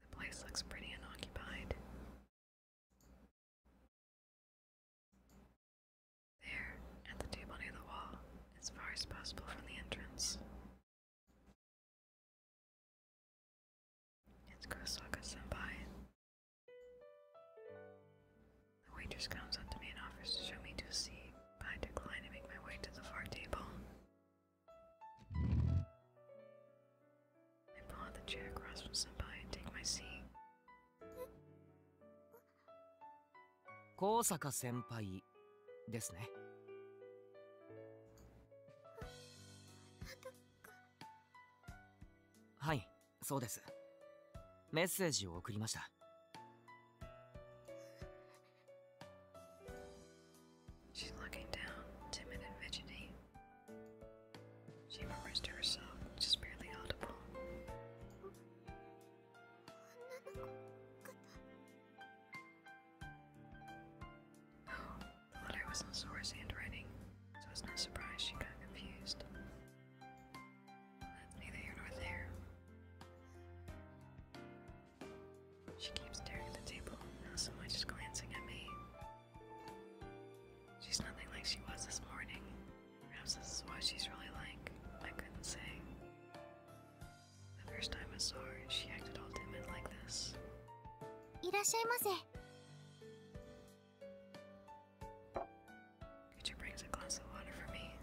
The place looks pretty unoccupied. There, at the table near the wall, as far as possible from the entrance, it's Kurosaka Senpai. The waitress comes up to me and offers to show me to a seat, I decline and make my way to the far table. I pull the chair across from Senpai and take my seat. 高坂先輩ですねはいそうですメッセージを送りました She's looking down, timid and fidgety. She murmurs to herself, just barely audible. Oh, the letter was in Sora's handwriting, so it's no surprise she got confused. neither here nor there. She keeps staring at the table, not so much as glancing at me. She's nothing like she was this morning. Perhaps this is what she's really like. I couldn't say. The first time I saw her, she acted all timid like this. Kucha brings a glass of water for me.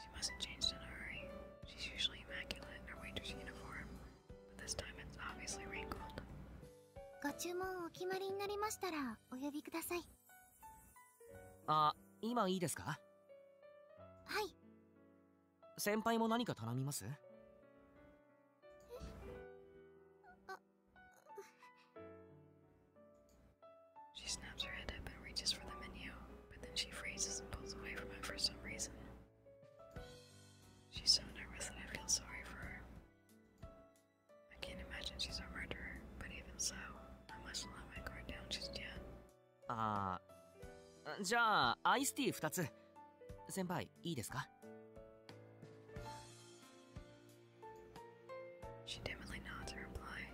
She mustn't change in a hurry. She's usually immaculate in her waitress uniform, but this time it's obviously wrinkled. ご注文お決まりになりましたらお呼びください。あ、今いいですかはい。先輩も何か頼みますあ She snaps her head up and reaches for the menu, but then she freezes and pulls away from it for some reason. She's so nervous that I feel sorry for her. I can't imagine she's a murderer, but even so, I must not let my guard down just yet. ああ、じゃあ、アイスティー2つ。先輩、いいですか uh, uh, She dimly nods her reply,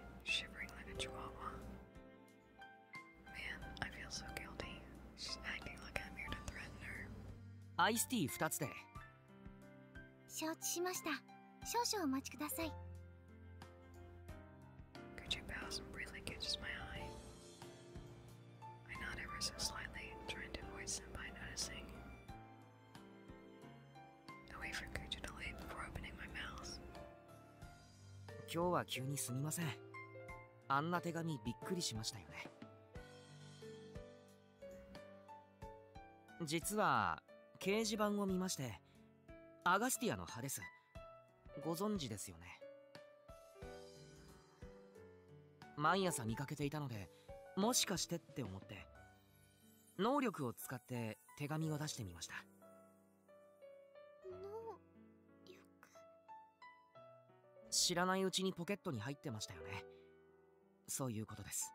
Man, I feel so guilty. She's acting like I'm here to threaten her. アイスティー2つで承知しました少々お待ちください Could you pass and really catches my eye? I nod ever so slightly, trying to avoid Senpai noticing. I wait for Kuju to leave before opening my mouth. 今日は急にすみませんあんな手紙びっくりしましたよね実は掲示板を見ましてアガスティアの葉ですご存知ですよね毎朝見かけていたのでもしかしてって思って能力を使って手紙を出してみました知らないうちにポケットに入ってましたよねそういうことです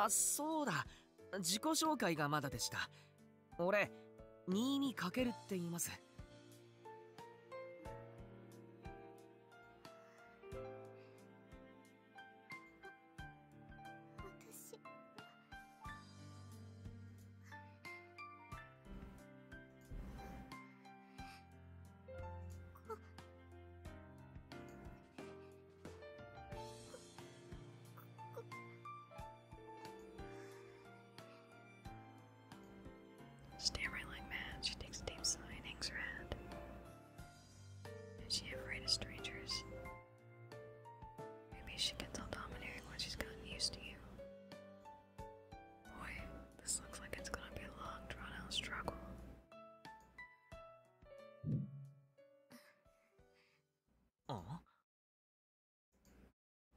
あそうだ自己紹介がまだでした俺新にかけるって言います Stammering like mad, she takes a deep sigh and hangs her head. Is she afraid of strangers? Maybe she gets all domineering when she's gotten used to you. Boy, this looks like it's gonna be a long, drawn out struggle. Oh.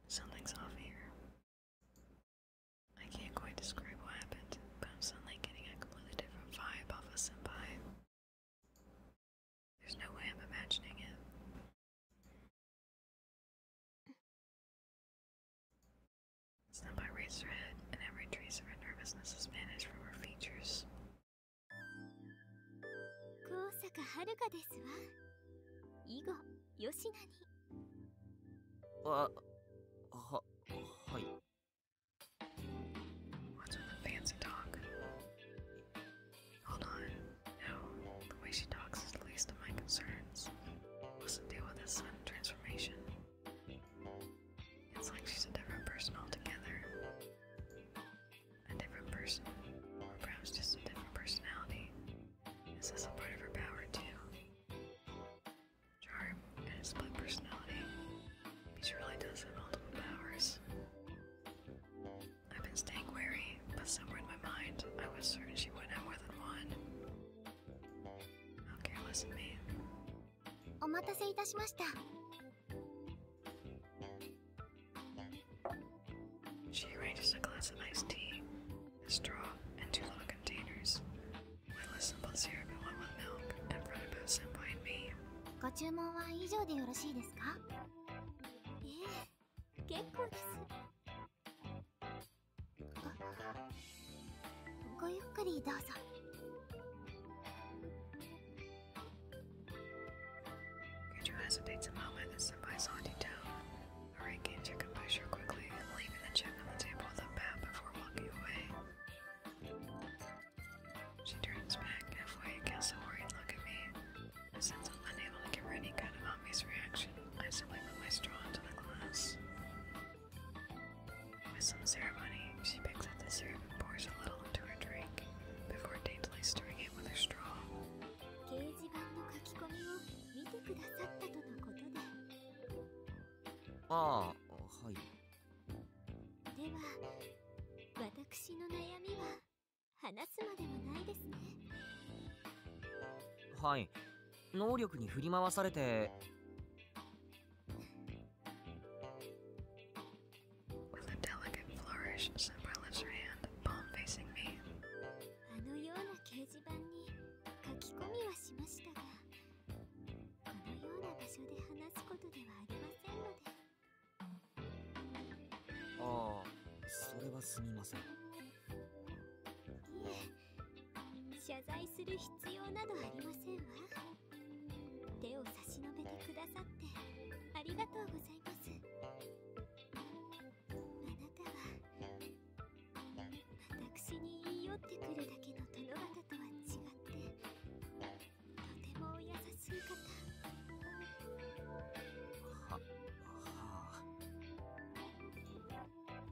Something's off here. I can't quite describe what happened, but I'm suddenly getting a completely different vibe off of Senpai. There's no way I'm imagining it. Senpai raised her head, and every trace of her nervousness is vanished from her features. 高坂遥ですわ以後吉名にあははい What's with the fancy dog? Hold on. No, the way she talks is the least of my concerns. What's the deal with this sudden transformation? It's like she's a different person altogether a different person, or perhaps just a different personality. This a part of her power too. Charm and split personality. She really does have multiple powers. I've been staying wary, but somewhere in my mind, I was certain she would not have more than one. How careless of me. お待たせいたしましたご注文は以上でよろしいですかええ結構ですごゆっくりどうぞ Guido hesitates a moment as somebody's haunting down. Araki and Chicken Pusher quickly leaving the check on the table with a bat before walking away. She turns back halfway and casts a worried look at me. Since I'm unable to give any kind of obvious reaction, I simply put my straw into the glass. With some ceremony, she picks up the syrup and pours a little bottle into her drink before daintily stirring it with her straw. 掲示板の書き込みを見てくださったとのことでああはいでは私の悩みは話すまでもないですねはい能力に振り回されて w あのような掲示板に書き込みはしましたが、このような場所で話すことではありませんので。ああ、それはすみません。いえ、謝罪する必要などありませんわ。手を差し伸べてくださってありがとうございますあなたは私に言い寄ってくるだけの手殿方とは違ってとてもお優しい方はは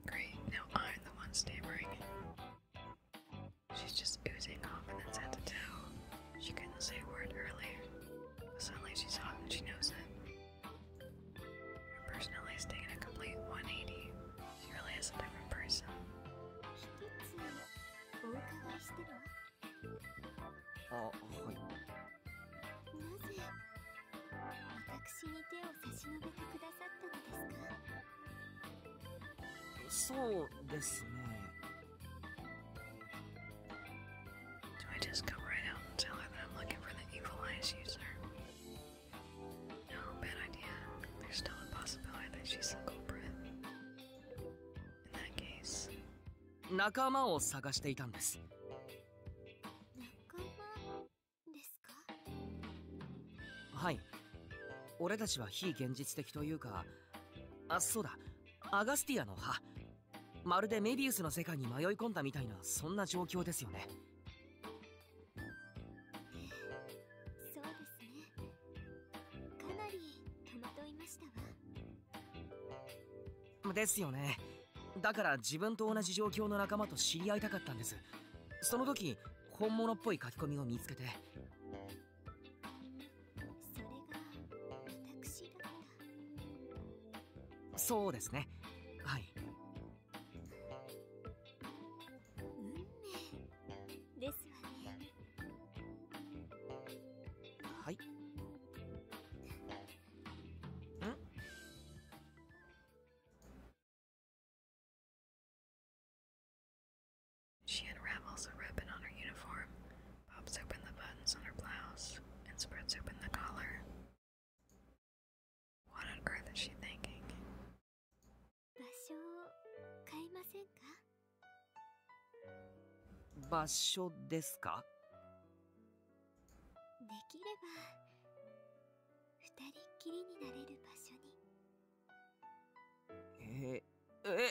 Great, now I'm the one s t a m m She's just oozing confidence and that's head She couldn't say a word earlier. But suddenly she's hot and she knows it. Her personality is taking a complete 180. She really is a different person. Oh, oh. So, ですね。Do I just go right out and tell her that I'm looking for the evil eyes user? No, bad idea. There's still a possibility that she's a culprit. In that case. 仲間を探していたんです。仲間ですかはい。俺たちは非現実的というか、あ、そうだ。アガスティアの歯まるでメビウスの世界に迷い込んだみたいなそんな状況ですよねそうですねかなり戸惑いましたわですよねだから自分と同じ状況の仲間と知り合いたかったんですその時本物っぽい書き込みを見つけてそれが私だからそうですねはい運命ですわねはいん。She unravels a ribbon on her uniform, pops open the buttons on her blouse, and spreads open the collar. What on earth is she thinking? Basho deska? Eh, eh,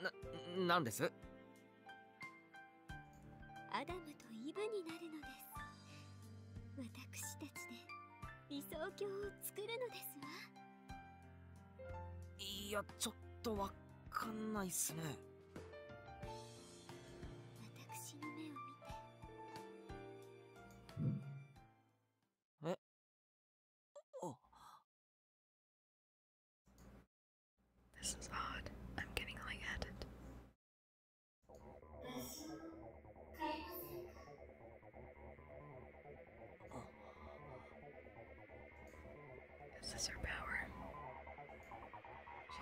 あななんですアダムとイブになるのです私たちで理想郷を作るのですわいやちょっとわかんないっすね私の目を見てえ Oh. This is odd. I'm getting light-headed. Oh. Is her power?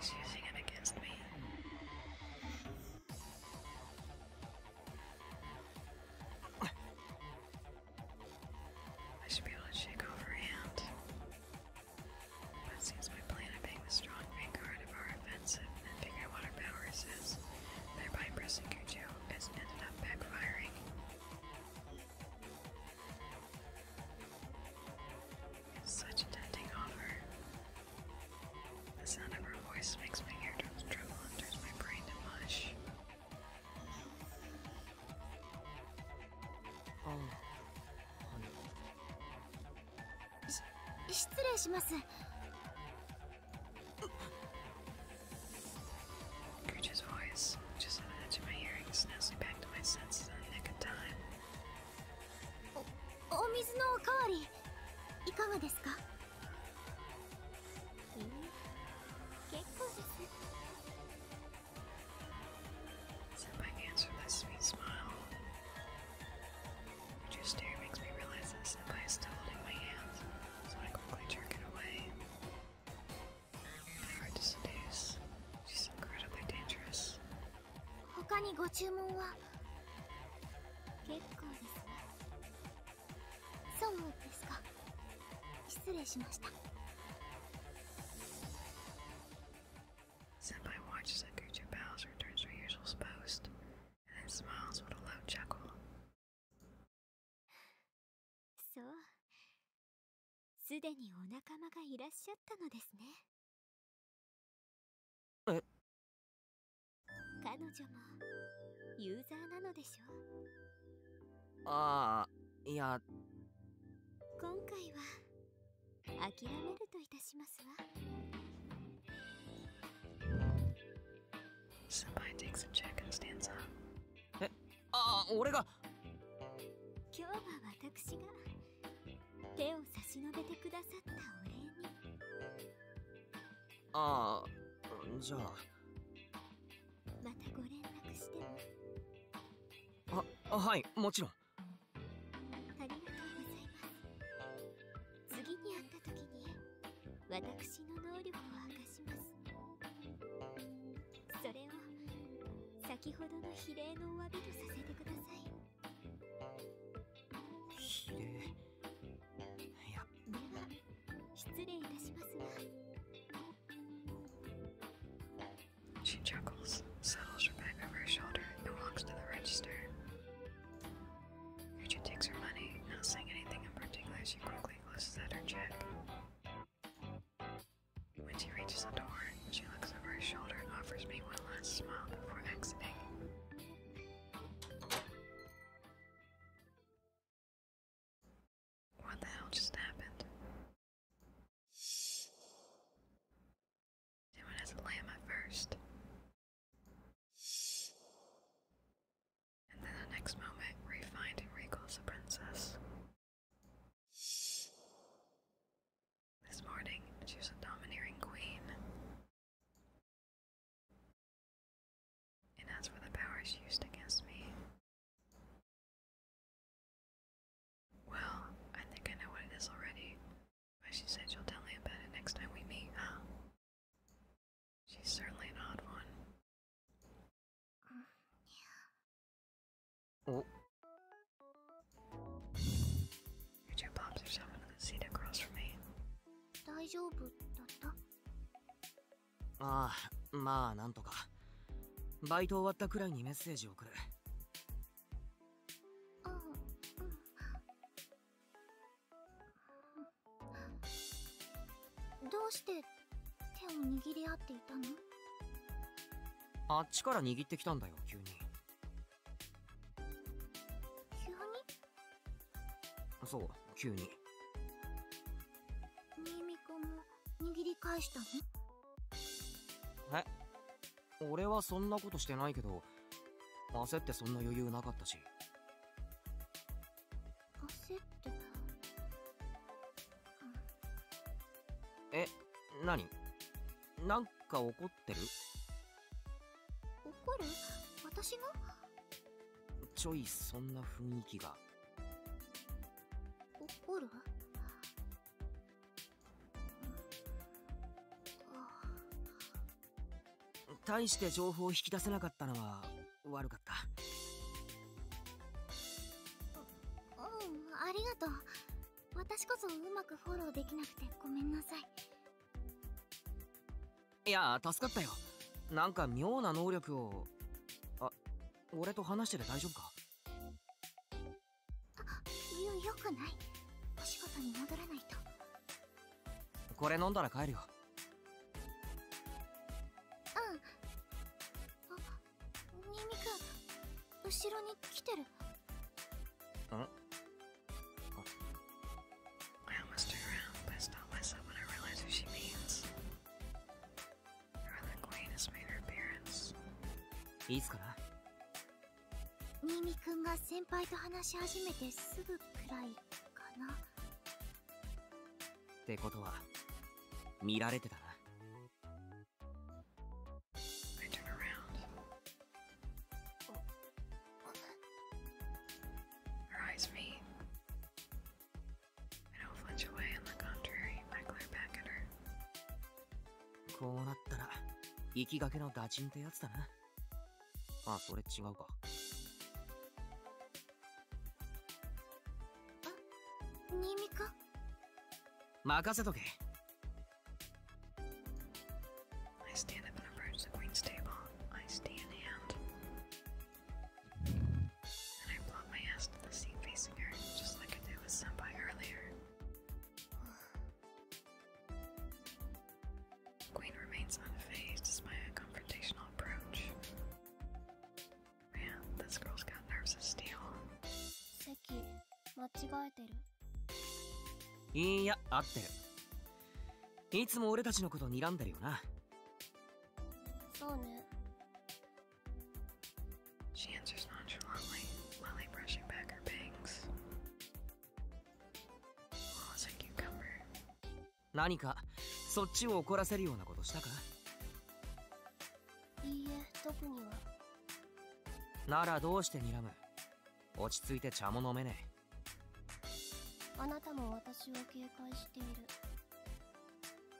She's using it against me. I should be able to shake over hand. That seems my plan of being the strong vanguard of our offensive and figure what our powers is, thereby pressing Kujo has ended up backfiring. such a tempting offer. The sound of her voice makes my eardrums tremble and turns my brain to mush. 失礼しますお水のおかわりいかがですかす Said my answer lets me smile. your stare makes me realize that Senpai is still holding my hands, so I quickly jerk it away. My to seduce. She's incredibly dangerous. 他にご注文は結構ですねそうですか失礼しました Senpai watches as Gucci bows returns to her usual post, and then smiles with a low chuckle. そうすでにお仲間がいらっしゃったのですね彼女もユーザーなのでしょうああいや今回は諦めるといたしますわえああ俺が今日は私が手を差し伸べてくださったお礼にああじゃあまたご連絡してもあはいもちろんありがとうございます次に会った時に私の能力を明かしますそれを先ほどの比例のお詫びとさせてくださいでは失礼いたしますが She chuckles, settles her bag over her shoulder, and walks to the register. Richard takes her money, not saying anything in particular. She quickly closes out her check. When she reaches the door, she looks over her shoulder and offers me one last smile before exiting. What the hell just happened? Someone has to lay my first. And then the next moment, we and recalls the princess. This morning, she was a domineering queen. And as for the power she used against me, well, I think I know what it is already. But she said she'll tell me about it next time we meet, She's certainly an odd one. Mm, your two pops are shoving in the seat across from me. ああまあなんとかバイト終わったくらいにメッセージ送るどうして手を握り合っていたのあっちから握ってきたんだよ急に急にそう急に新見子も握り返したのえ俺はそんなことしてないけど焦ってそんな余裕なかったし焦ってたえ何なんか怒ってる怒る私がちょいそんな雰囲気が怒る大して情報を引き出せなかったのは悪かったうんありがとう私こそうまくフォローできなくてごめんなさいいや助かったよなんか妙な能力をあ俺と話してて大丈夫かよよくないお仕事に戻らないとこれ飲んだら帰るようんニンニク後ろに来てるん I almost turned around, pissed off by someone I realized who she means. いいっすミミ見くんが先輩と話し始めてすぐくらいかなってことは見られてたな I don't flinch away, on the contrary, I glare back at her. こうなったら、行きがけのダチンってやつだな。あ、それ違うか。あ、新見か任せとけ。I stand up and approach the queen's table. I stay in hand. And I block on my ass to the seat facing her, just like I did with Senpai earlier. Queen remains unfazed as my confrontational approach. Man, this girl's got nerves of steel. 席間違えてるいや合ってるいつも俺たちのこと睨んでるよなそうね She answers nonchalantly, Lily brushing back her bangs. Lola's a cucumber. 何かそっちを怒らせるようなことしたかいいえ、特には。ならどうして睨む落ち着いて茶も飲めねえ。あなたも私を警戒している。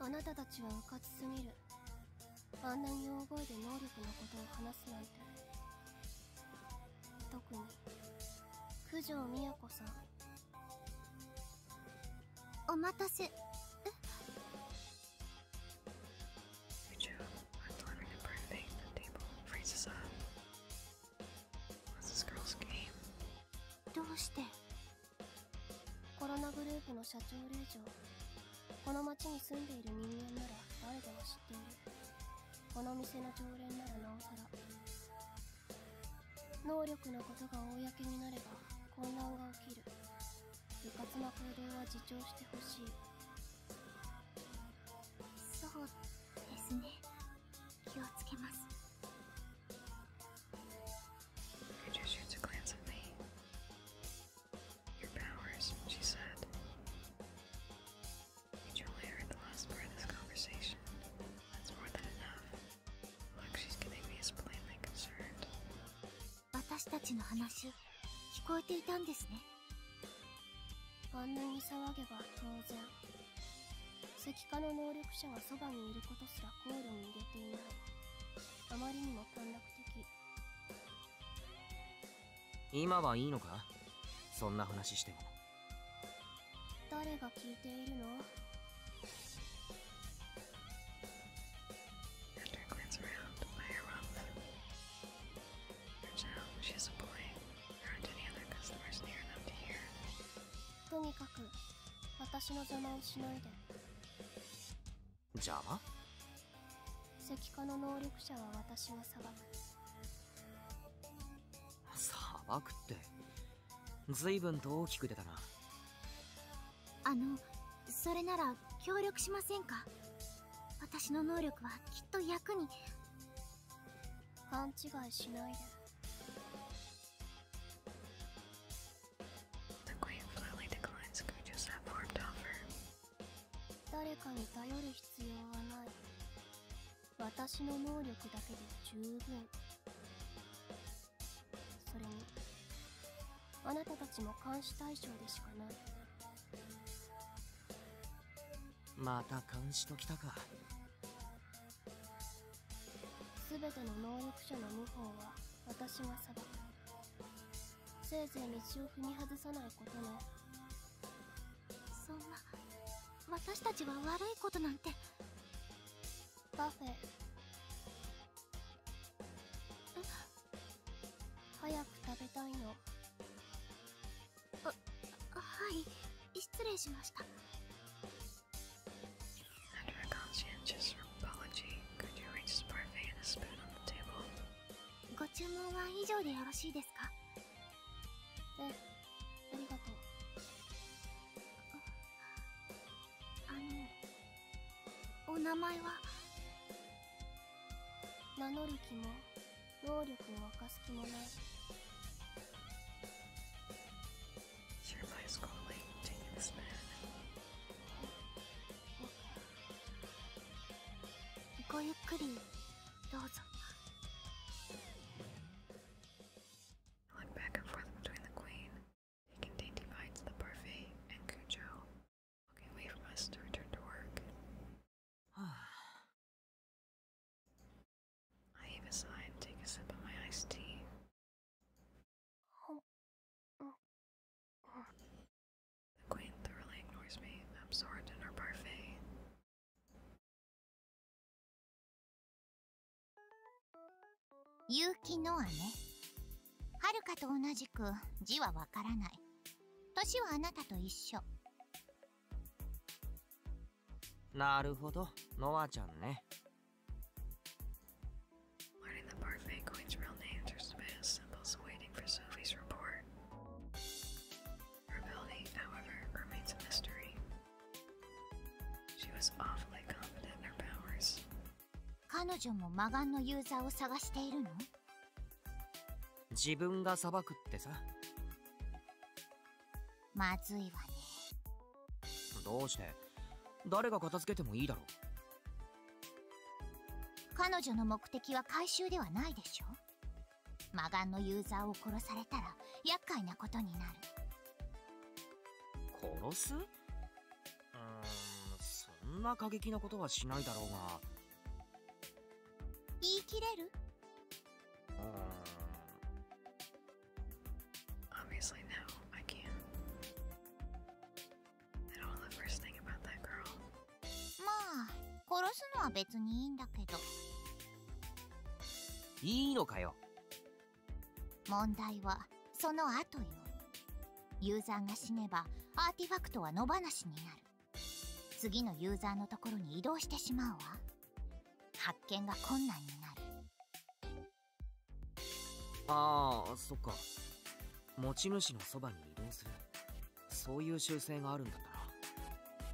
あなたたちはうかちすぎるあんなに大声で能力のことを話すなんて特に九条美さんお待たせどうしてコロナグループの社長令嬢この町に住んでいる人間なら誰でも知っているこの店の常連ならなおさら能力のことが公になれば混乱が起きる部活な行動は自重してほしいそうですね気をつけます Peter shoots a glance at me. Your powers, she said. You only heard the last part of this conversation. That's more than enough. Look, she's getting me as plainly concerned. 私たちの話、聞こえていたんですね。あんなに騒げば当然。石化の能力者がそばにいることすらコールを入れていないあまりにも短絡的今はいいのかそんな話しても誰が聞いているの She's a boy. There aren't any other customers near enough to hear. とにかく私の邪魔をしないで邪魔石化の能力者は私が裁く裁くって随分と大きく出たなあのそれなら協力しませんか私の能力はきっと役に勘違いしないで The q u e e 誰かに頼る必要はない。私の能力だけで十分。それに、あなたたちも監視対象でしかない。また監視ときたか。全ての能力者の謀反は私が裁くせいぜい道を踏み外さないことも。そんな私たちは悪いことなんてパフェ早く食べたいのあはい失礼しました After a conscientious apology, Goodyear reached his parfait and a spoon on the table. ご注文は以上でよろしいですかえ、ありがとう。あの、お名前は名乗る気も、能力を明かす気もない。Jeremiah Scully taking this man. ごゆっくりどうぞ。Went back and forth between the queen, taking dainty bites of the parfait, and Cujo, walking away from us to return to work. I even saw take a sip of my iced tea The queen thoroughly ignores me, absorbed in her parfait. Yuki Noa ね。はるかと同じく字はわからない。年はあなたと一緒。なるほど、ノアちゃんね。Learning that Parfait Coin's real names are Sebastian's symbols waiting for Sophie's report. Her ability, however, remains a mystery. She was awfully confident in her powers. 彼女も魔眼のユーザーを探しているの自分が裁くってさまずいわねどうして誰が片付けてもいいだろう彼女の目的は回収ではないでしょ魔眼のユーザーを殺されたら厄介なことになる殺すんそんな過激なことはしないだろうが言い切れる o b v i o u s まあ、殺すのは別にいいんだけど。いいのかよ。問題は、その後よ。ユーザーが死ねば、アーティファクトは野放しになる。次のユーザーのところに移動してしまうわ。発見が困難になる。ああそっか持ち主のそばに移動するそういう習性があるんだったな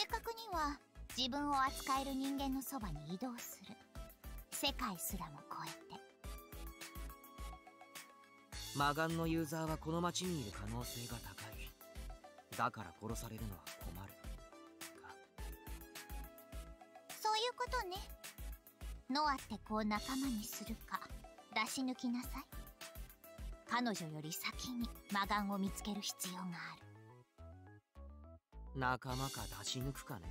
正確には自分を扱える人間のそばに移動する世界すらも超えて魔眼のユーザーはこの町にいる可能性が高いだから殺されるのは困るかそういうことねノアって子を仲間にするか出し抜きなさい彼女より先に魔眼を見つける必要がある仲間か出し抜くかね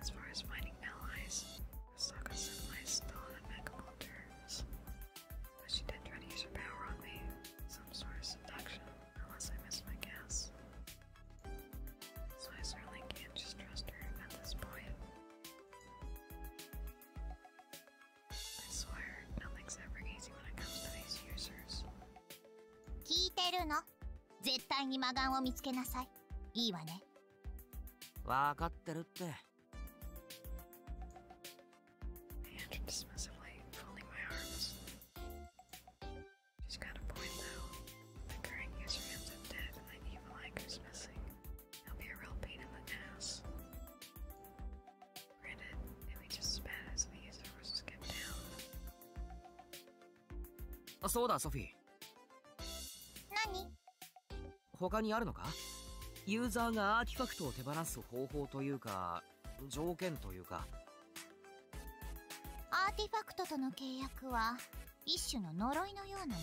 As far as finding allies, Asaka Senpai is still on impeccable terms. But she did try to use her power on me, some sort of seduction, unless I missed my guess. So I certainly can't just trust her at this point. I swear, nothing's ever easy when it comes to these users. 聞いてるの絶対に魔眼を見つけなさいいいわねわかってるってそうだソフィー何他にあるのかユーザーがアーティファクトを手放す方法というか条件というかアーティファクトとの契約は一種の呪いのようなものよ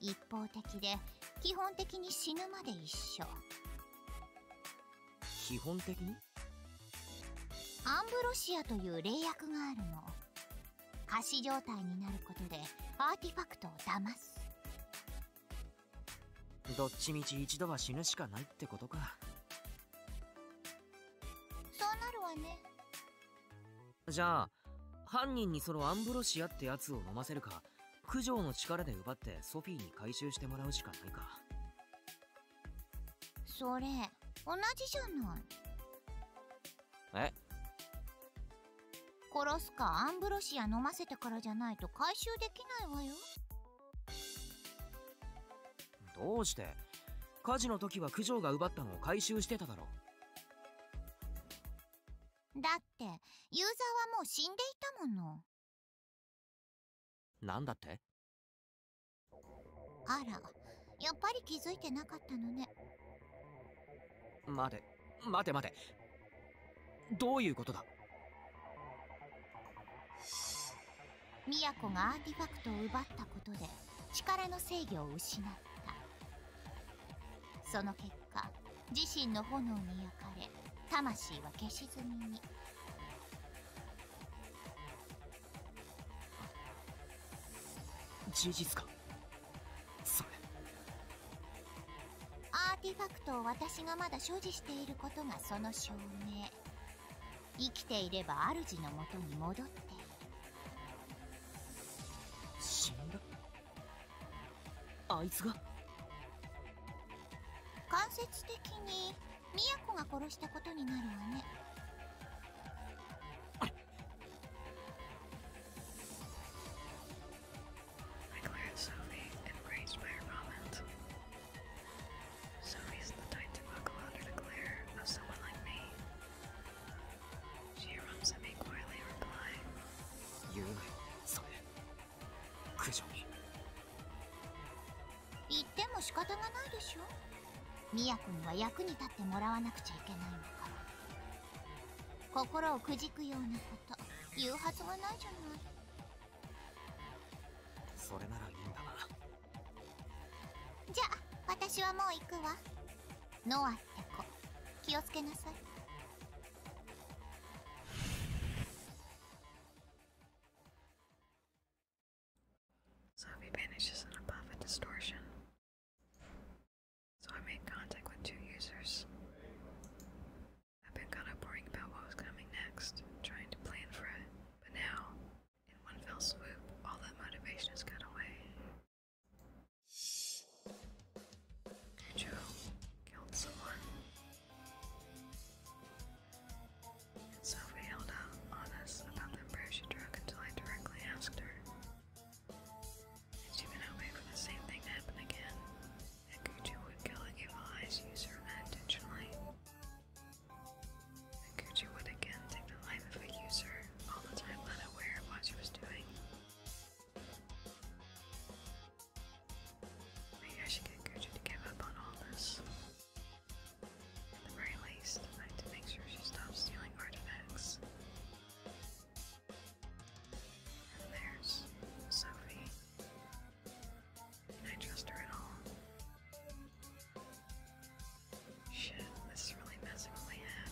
一方的で基本的に死ぬまで一緒基本的にアンブロシアという霊薬があるの仮死状態になることでアーティファクトを騙すどっちみち一度は死ぬしかないってことかそうなるわねじゃあ犯人にそのアンブロシアってやつを飲ませるか九条の力で奪ってソフィーに回収してもらうしかないかそれ同じじゃないえ殺すかアンブロシア飲ませてからじゃないと回収できないわよどうして火事の時は九条が奪ったのを回収してただろだってユーザーはもう死んでいたものなだってあらやっぱり気づいてなかったのね待て待て待てどういうことだ都がアーティファクトを奪ったことで力の制御を失ったその結果自身の炎に焼かれ魂は消しみに事実かそれアーティファクトを私がまだ所持していることがその証明生きていれば主のもとに戻っている死んだあいつが間接的にみやこが殺したことになるわね言っても仕方がないでしょみやこには役に立ってもらわなくちゃいけないのから心をくじくようなこと言うはずがないじゃないそれならいいんだなじゃあ私はもう行くわノアって子気をつけなさい So if he vanishes in a distortion, so I made contact with two users. I've been kind of worrying about what was coming next, trying to plan for it, but now, in one fell swoop, all that motivation has cut away. Joe killed someone so we held out on us about the prescription drug until I directly asked her. she gonna wait for the same thing to happen again? That would kill an evil eyes user unintentionally. That Gucci would again take the life of a user, all the time unaware of what she was doing. Maybe I should get Gucci to give up on all this. At the very least, I have to make sure she stops stealing artifacts. And there's Sophie. Can I trust her at all? Shit, this is really messing with my head.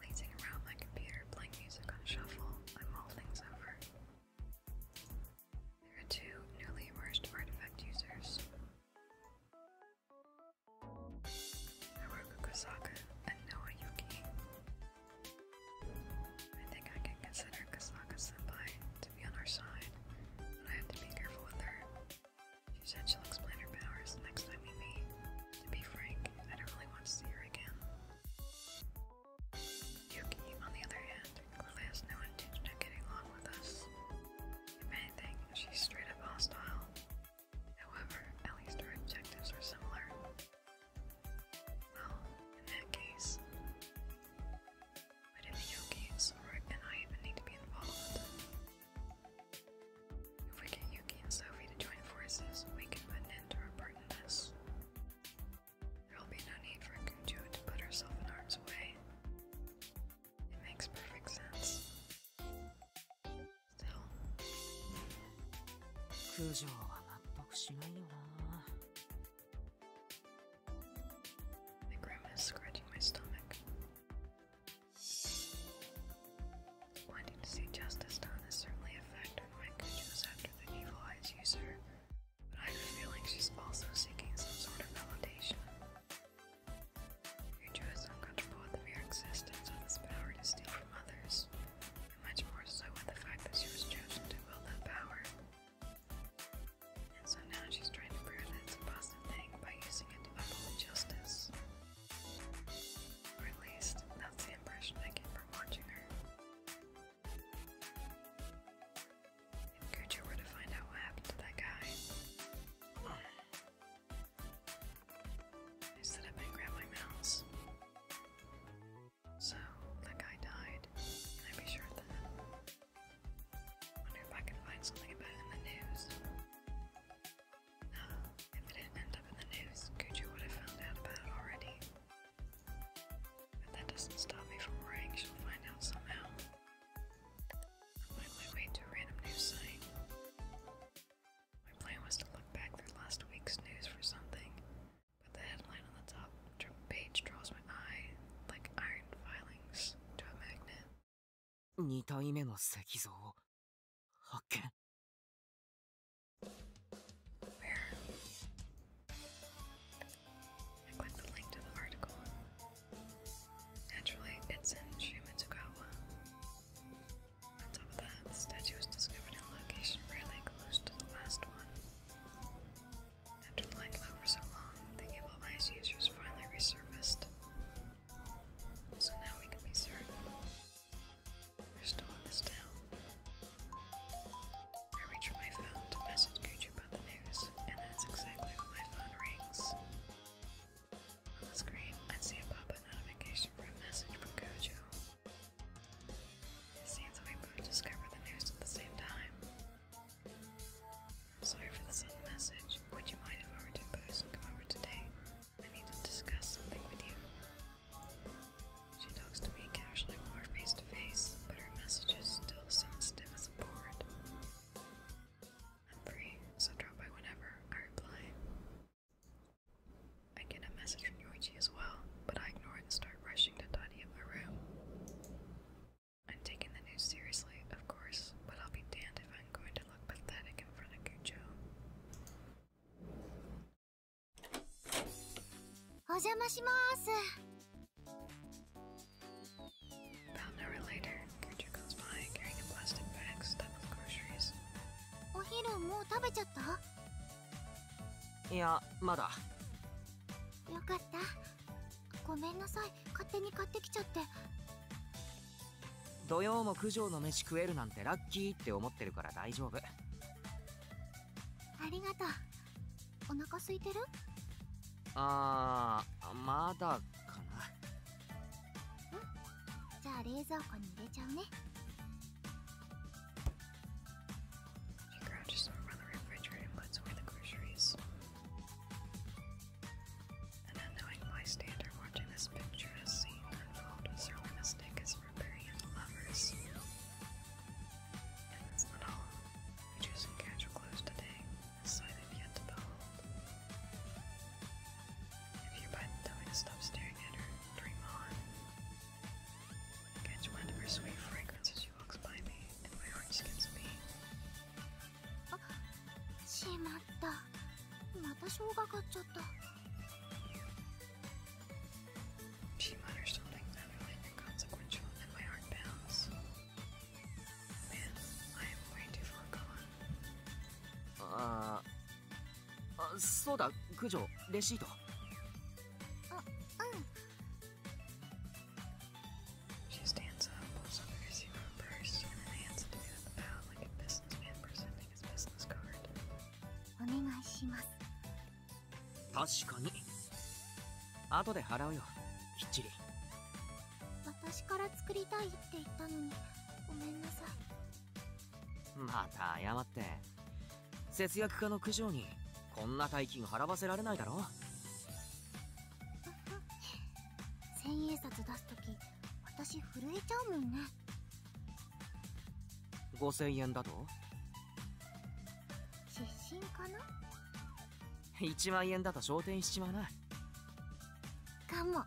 Lazing around my computer, playing music on shuffle, I'm all things over. There are two newly emerged artifact users. Haruka Kosaka and Noah Yuki. I think I can consider Kosaka senpai to be on our side, but I have to be careful with her. She said she'll explain her powers next time we meet. To be frank, I don't really want to see her again. Yuki, on the other hand, has no intention of getting along with us. If anything, she's straight up hostile. However, at least our objectives are similar. Well, in that case, but in the Yuki, Sora and I even need to be involved. If we get Yuki and Sophie to join forces, we can put an end to our part in There will be no need for Kunju to put herself in harm's way. It makes perfect sense. Still. My grandma is scratching my stomach. Wanting to see justice done certainly a my goodness after the evil eyes user, but I have a feeling she's also seeking some sort of validation. Future is uncomfortable with the existence of this power to steal from others, much more so with the fact that she was chosen to wield that power so now she's trying to prove that it's a positive thing by using it to uphold justice. Or at least, that's the impression I get from watching her. If Gucci were to find out what happened to that guy, I stood up and grabbed my mouse. So, that guy died, and I be sure of that. I Wonder if I can find something about it in the news. if it didn't end up in the news, Gucci would have found out about it already. But that doesn't stop me from worrying she'll find out somehow. I made my to a random news site. My plan was to look back through last week's news for something, but the headline on the top page draws my eye like iron filings to a magnet. 2体目の石像を発見 I click the link to the article. Naturally, it's in Shimitsugawa. On top of that, the statue was discovered in a location really close to the last one. After lying low for so long, the evil ice users finally resurfaced. So now we can be certain. We're still in this town. I reach for my phone to message Gucci about the news, and that's exactly my phone rings. On the screen, I see a pop-up notification for a message from Gojo. It seems we both discover the news at the same time. Sorry for the sudden message. Would you mind if I were to post come over today? I need to discuss something with you. She talks to me casually more face to face, but her messages still sound stiff as a board. I'm free, so drop by whenever, I reply. I get a message from Yoichi as well, but I ignore it and start rushing to tidy up my room. I'm taking the news seriously, of course, but I'll be damned if I'm going to look pathetic in front of Cujo. お邪魔します About an hour later, Guju comes by carrying plastic bag stuffed with groceries. お昼もう食べちゃったいや、まだよかったごめんなさい勝手に買ってきちゃって土曜も九条の飯食えるなんてラッキーって思ってるから大丈夫ありがとうお腹空いてるあーまだかなんじゃあ冷蔵庫に入れちゃうね An unknowing bystander watching this picture picturesque scene unfold is realistic as for burying lovers. And that's not all. We choose catch casual clothes today, a sight I've yet to behold. If you bite the tummy to stop staring at her, dream on. Catch wind of her sweet fragrance as she walks by me, and my heart skips a beat. あしまったまた生姜買っちゃった P minor starting emulating the consequential and my heart pounds. Man, I am way too far gone. ああそうだ九条レシートあうん She stands up, pulls up her receiver purse, and then hands it to me with a bow like a businessman presenting his business card. お願いします確かに後で払うよきっちり私から作りたいって言ったのにごめんなさいまた謝って節約家の九条にこんな大金払わせられないだろ千円札出す時私震えちゃうもんね5000円だと出身かな1万円だと昇天しちまうなかもあ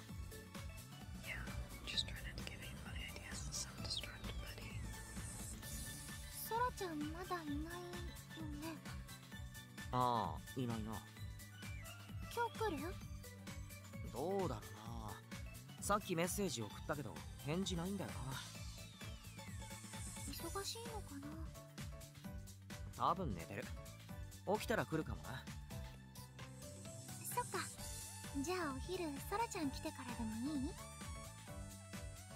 y e ちゃんまだいないよねああいないな今日来るどうだろうなさっきメッセージ送ったけど返事ないんだよな忙しいのかな多分寝てる起きたら来るかもなそっかじゃあお昼ソラちゃん来てからでもいい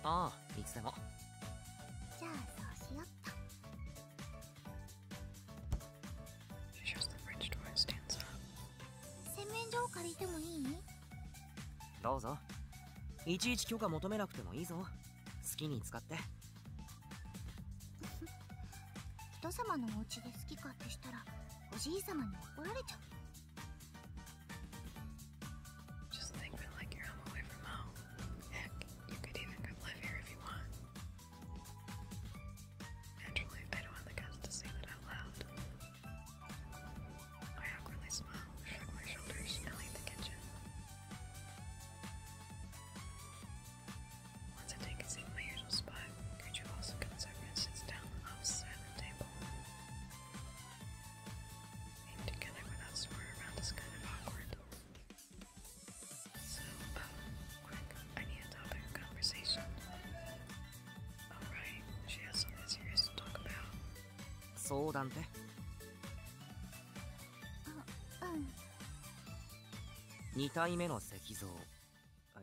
ああいつでもじゃあそうしよっと洗面所を借りてもいいどうぞいちいち許可求めなくてもいいぞ好きに使って人様のお家で好き勝手したらおじい様に怒られちゃう Just think that like you're home away from home. Heck, you could even come live here if you want. Naturally, I don't want the guests to say that out loud. I awkwardly smile, shrug my shoulders, and leave the kitchen. Once I take a seat in my usual spot, Gertrude also comes and sits down on the opposite table. Being together without someone around is kind of awkward. So, oh, I need a topic of conversation. Alright, she has something serious to talk about. そうだんて。あ、うん。2体目の石像い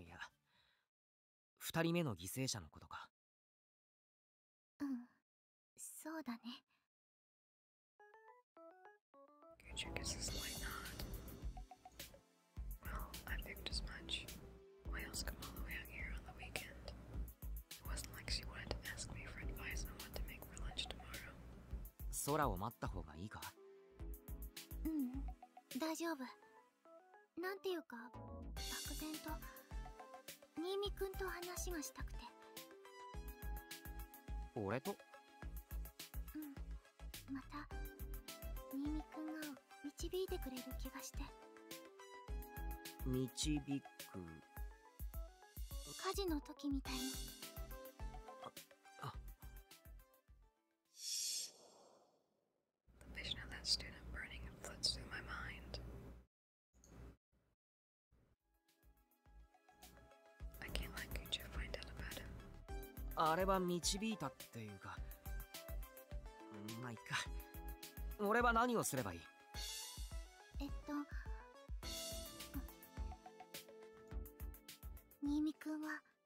や2人目の犠牲者のことかうんそうだね Check is this light not? Well, I figured as much. Why else come all the way out here on the weekend? It wasn't like she wanted to ask me for advice on what to make for lunch tomorrow. 空を待った方がいいかううん大丈夫何ていうか漠然と新見君と話がしたくて俺とうんまた新見君が導いてくれる気がして導く火事の時みたいに The vision of that student burning flits through my mind. I can't let Gucci find out about him. あれは導いたっていうか。まあ、いっか。俺は何をすればいいえっと。新見くんは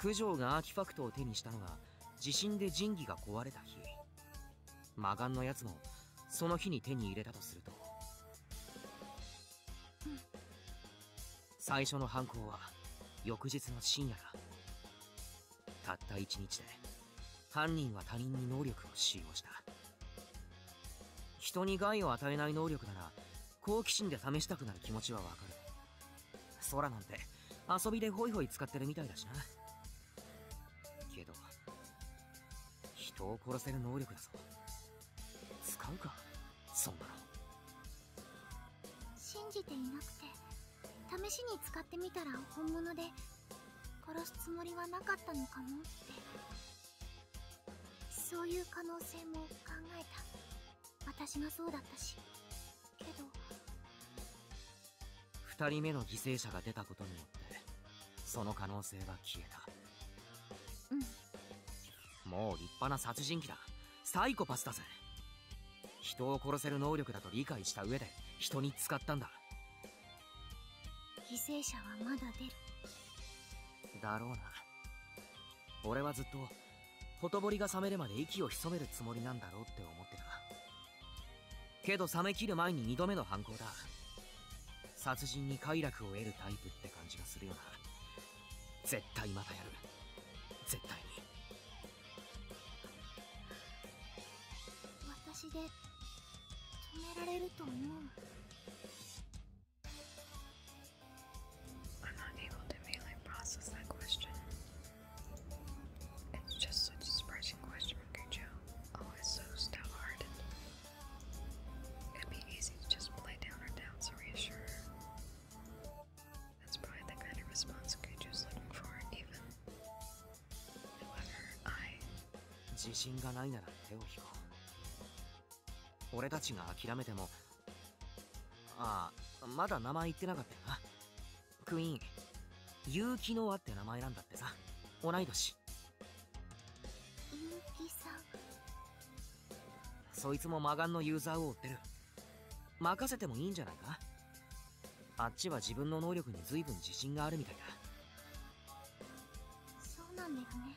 九条がアーティファクトを手にしたのは地震で神器が壊れた日魔眼のやつもその日に手に入れたとすると、最初の犯行は翌日の深夜だたった一日で犯人は他人に能力を使用した人に害を与えない能力なら好奇心で試したくなる気持ちはわかる空なんて遊びでホイホイ使ってるみたいだしなけど人を殺せる能力だぞ使うかそんなの信じていなくて試しに使ってみたら本物で殺すつもりはなかったのかもってそういう可能性も考えた私がそうだったしけど2人目の犠牲者が出たことによってその可能性は消えたうんもう立派な殺人鬼だサイコパスだぜ人を殺せる能力だと理解した上で人に使ったんだ犠牲者はまだ出るだろうな俺はずっとほとぼりが冷めるまで息を潜めるつもりなんだろうって思ってたけど冷めきる前に2度目の犯行だ殺人に快楽を得るタイプって感じがするよな絶対またやる絶対に私で止められると思う It's just such a surprising question from Gujo. Always so stout hearted. It'd be easy to just play down her doubts and reassure her. That's probably the kind of response Gujo's looking for, even. However, I. 自信がないなら手を引こう俺たちが諦めてもああまだ名前言ってなかったよなクイーン結城ノアって名前なんだってさ同い年結城さんそいつも魔眼のユーザーを追ってる任せてもいいんじゃないかあっちは自分の能力に随分自信があるみたいだそうなんだよね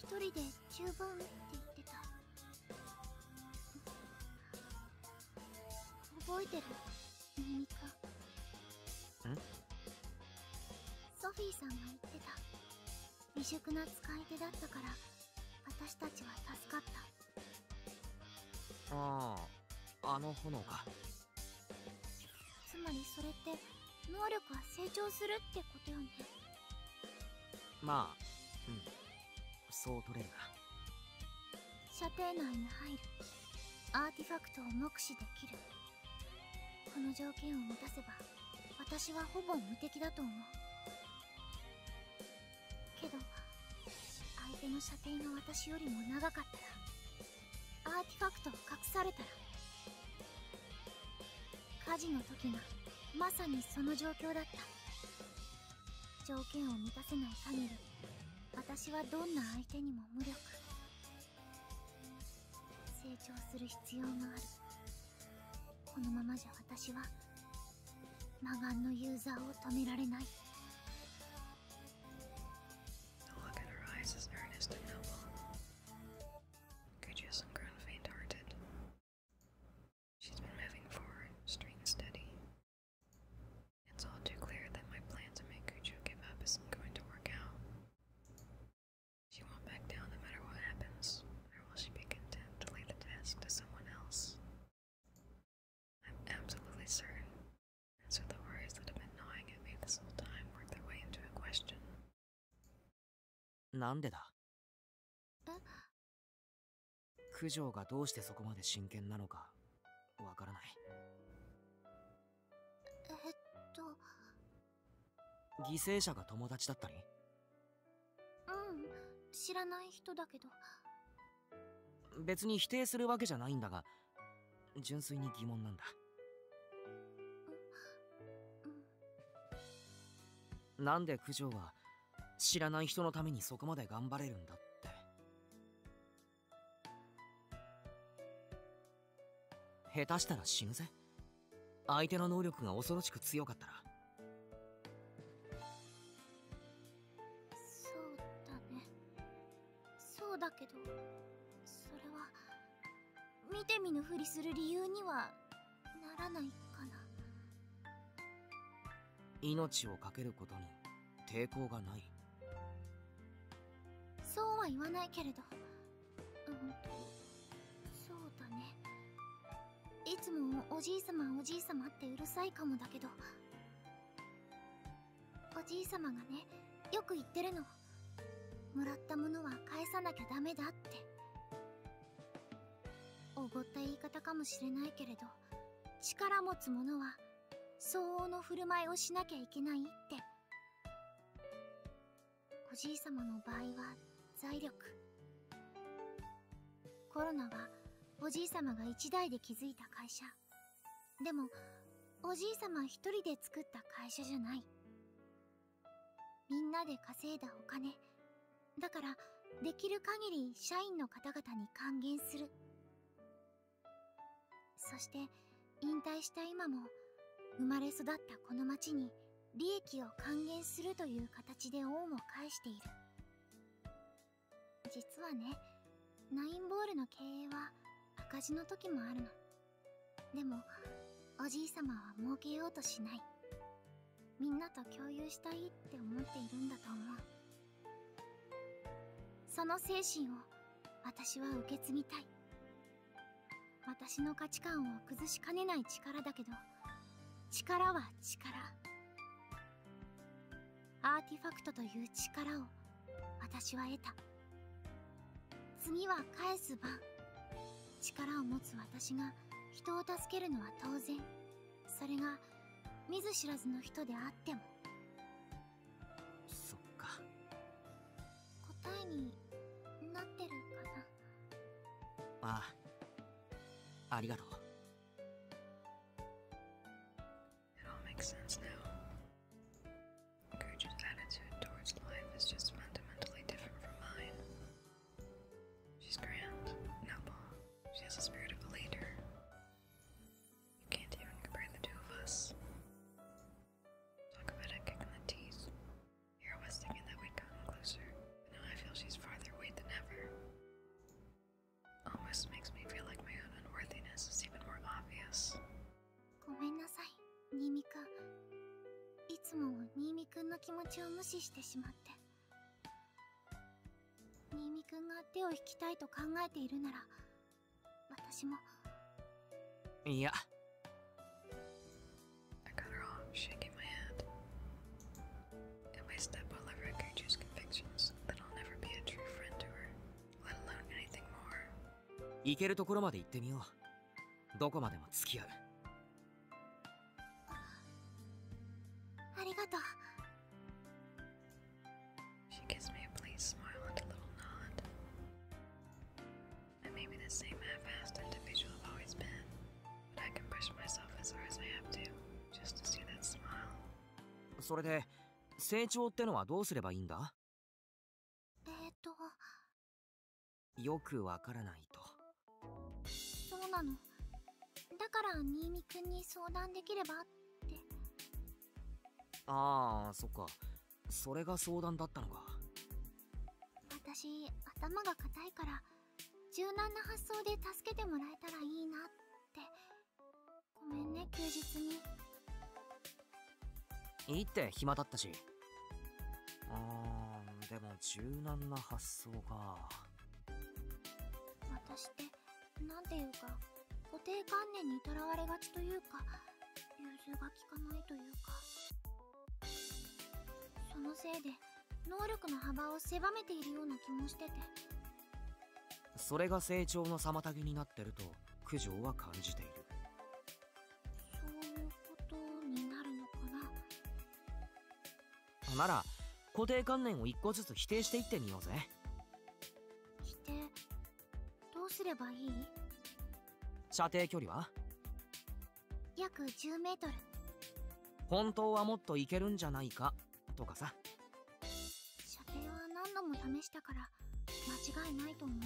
1人で十分って言ってた覚えてるミミカソフィーさんが言ってた未熟な使い手だったから私たちは助かったあああの炎かつまりそれって能力は成長するってことよねまあうんそう取れるな射程内に入るアーティファクトを目視できるこの条件を満たせば私はほぼ無敵だと思うけど相手の射程が私よりも長かったらアーティファクトを隠されたら火事の時がまさにその状況だった条件を満たせない限り私はどんな相手にも無力成長する必要があるこのままじゃ私は魔眼のユーザーを止められない Could you some ground faint hearted? She's been moving forward, straight and steady. It's all too clear that my plan to make Cujo give up isn't going to work out. She won't back down no matter what happens, nor will she be content to leave the task to someone else. I'm absolutely certain, and the worries that have been gnawing at me this whole time work their way into a question. なんでだえ九条がどうしてそこまで真剣なのかわからないえっと犠牲者が友達だったりうん知らない人だけど別に否定するわけじゃないんだが純粋に疑問なんだ、うなんで九条は知らない人のためにそこまで頑張れるんだって下手したら死ぬぜ相手の能力が恐ろしく強かったらそうだねそうだけどそれは見て見ぬふりする理由にはならないかな命をかけることに抵抗がないそうは言わないけれどそうだねいつもおじいさまおじいさまってうるさいかもだけどおじいさまがねよく言ってるのもらったものは返さなきゃだめだっておごった言い方かもしれないけれど力持つ者は相応の振る舞いをしなきゃいけないっておじい様の場合は財力コロナはおじい様が一代で築いた会社でもおじい様一人で作った会社じゃないみんなで稼いだお金だからできる限り社員の方々に還元するそして引退した今も生まれ育ったこの町に利益を還元するという形で恩を返している実はねナインボールの経営は赤字の時もあるのでもおじい様は儲けようとしないみんなと共有したいって思っているんだと思うその精神を私は受け継ぎたい私の価値観を崩しかねない力だけど力は力アーティファクトという力を私は得た次は返す晩力を持つ私が人を助けるのは当然それが見ず知らずの人であってもそっか答えになってるかなああありがとう It all makes sense now. Gertrude's attitude towards life is just fundamentally different from mine. She's grand, noble. She has the spirit of a leader. You can't even compare the two of us. Talk about a kick in the teeth. Here I was thinking that we'd gotten closer, but now I feel she's farther away than ever. Almost makes me feel like my own unworthiness is even more obvious. ごめんなさい、ニミ君。いつもニミ君の気持ちを無視してしまって。新見くんが手を引きたいと考えているなら私もいや I got her arm shaking my hand Am I step all over Gucci's convictions that I'll never be a true friend to her let alone anything more 行けるところまで行ってみようどこまでも付き合うありがとう She gives me a pleased smile and a little nod. I may be the same half-assed individual I've always been, but I can push myself as hard as I have to just to see that smile. それで成長ってのはどうすればいいんだ？えー、っと、よくわからないと。そうなの。だから新見くんに相談できればって。ああそっかそれが相談だったのか私頭が固いから柔軟な発想で助けてもらえたらいいなってごめんね休日にいいって暇だったしあーでも柔軟な発想か私って何ていうか固定観念にとらわれがちというか融通が利かないというかそのせいで能力の幅を狭めているような気もしててそれが成長の妨げになってると苦情は感じているそういうことになるのかななら固定観念を1個ずつ否定していってみようぜ着てどうすればいい射程距離は約10メートル本当はもっといけるんじゃないかとかさ射程は何度も試したから間違いないと思う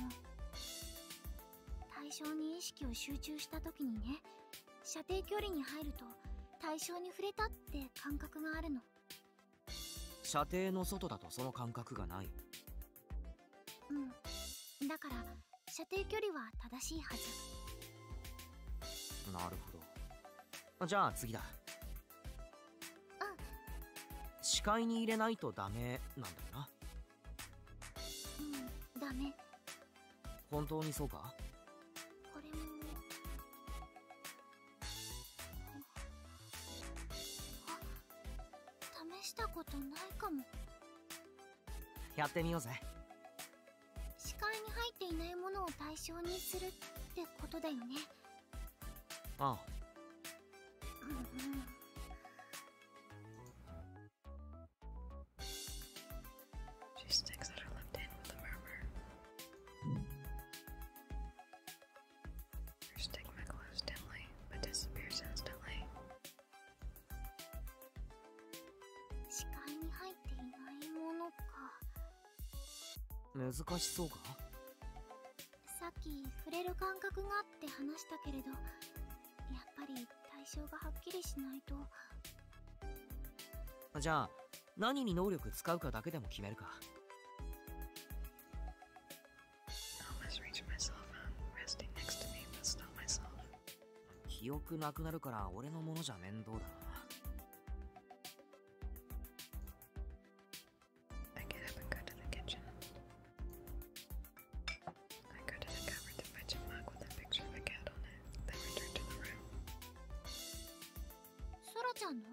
対象に意識を集中した時にね射程距離に入ると対象に触れたって感覚があるの射程の外だとその感覚がないうんだから射程距離は正しいはずなるほどじゃあ次だうん視界に入れないとダメなんだよなうんダメ本当にそうかこれも試したことないかもやってみようぜ視界に入っていないものを対象にするってことだよね h e 視界に入っていないものか難しそうかさっき触れる感覚がって話したけれどやっぱり対象がはっきりしないとじゃあ何に能力使うかだけでも決めるか。記憶なくなるから俺のものじゃ面倒だな。ちゃんの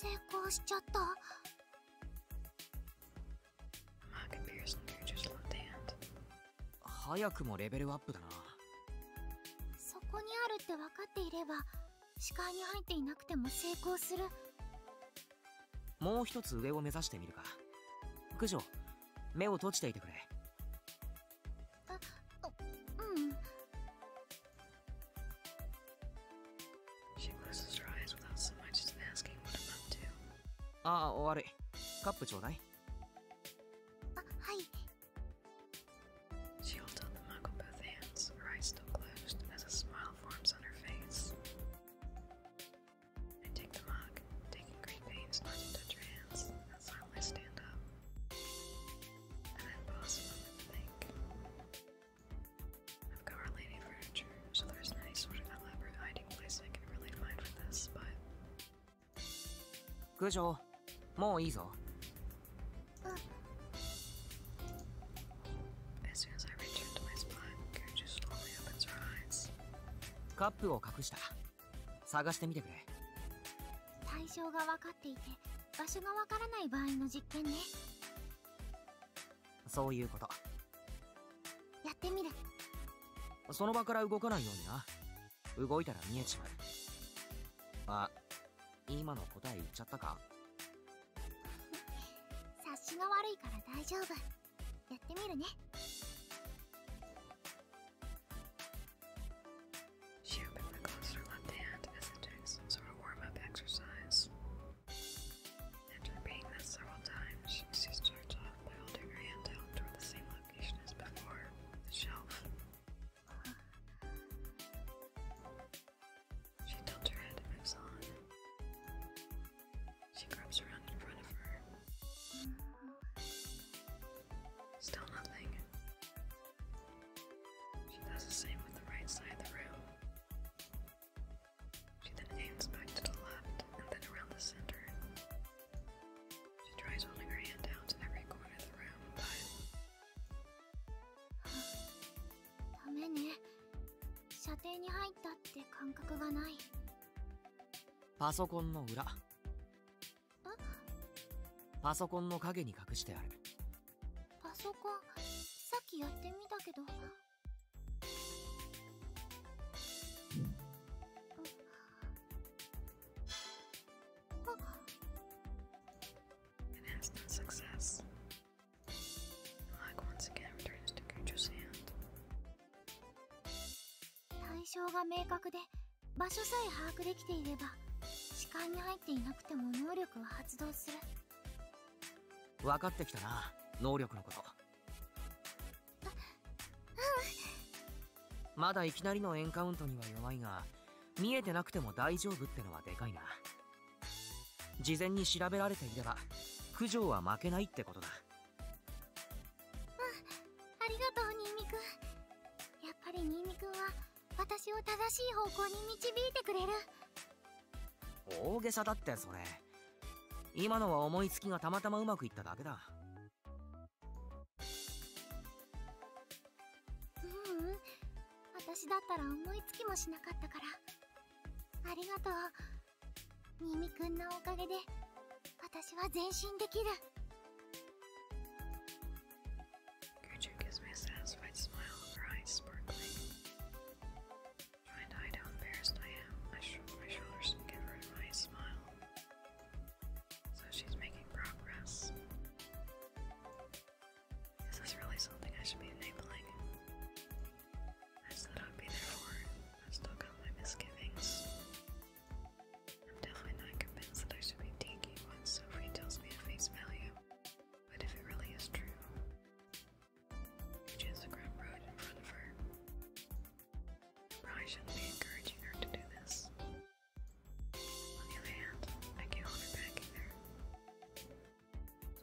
成功しちゃった。早くもレベルアップだな。そこにあるって分かっていれば、視界に入っていなくても成功する。もう一つ上を目指してみるか。九条、目を閉じていてくれ。Uh, oh, mm. She closes her eyes without so much as asking what I'm up to. Ah, sorry. Cup, ちょうだい. Uh, ah, hi. She holds out the mug with both hands, her eyes still closed, as a smile forms on her face. I take the mug, taking great pains not to touch her hands, and silently stand up. And I've lost one, I think. I've got Our Lady furniture, so there's no sort of elaborate hiding place I can really find for this, but. 九条、もういいぞ。As soon as I returned to my spot, Gojo slowly opens her eyes. カップを隠した。探してみてくれ対象が分かっていて場所がわからない場合の実験ねそういうことやってみるその場から動かないようにな動いたら見えちまうあ今の答え言っちゃったか 察しが悪いから大丈夫やってみるね She opens the gloves her left hand as if doing some sort of warm up exercise. After repeating this several times, she starts off by holding her hand out toward the same location as before the shelf. She tilts her head and moves on. She grabs around in front of her. Still nothing. She does the same with the right side of the room. She then aims back to the left and then around the center. She tries holding her hand out to every corner of the room, but. ダメね射程に入ったって感覚がないパソコンの裏パソコンの影に隠してあるパソコンさっきやってみたけど対象が明確で場所さえ把握できていれば視界に入っていなくても能力は発動する分かってきたな能力のことまだいきなりのエンカウントには弱いが見えてなくても大丈夫ってのはでかいな事前に調べられていれば九条は負けないってことだうありがとうニ見くクやっぱりニンニくんは私を正しい方向に導いてくれる大げさだってそれ今のは思いつきがたまたまうまくいっただけだううん私だったら思いつきもしなかったからありがとうニミくんのおかげで私は前進できる Gertrude gives me a satisfied smile, her eyes sparkling. Trying to hide how embarrassed I am, I shrug my shoulders and give her a nice smile. So she's making progress. Is this really something I should be enabling? I said I'd be there for it. I've still got my misgivings. I'm definitely not convinced that I should be taking what Sophie tells me at face value, but if it really is true, which is a grim road in front of her, I probably shouldn't be encouraging her to do this. On the other hand, I can't hold her back either.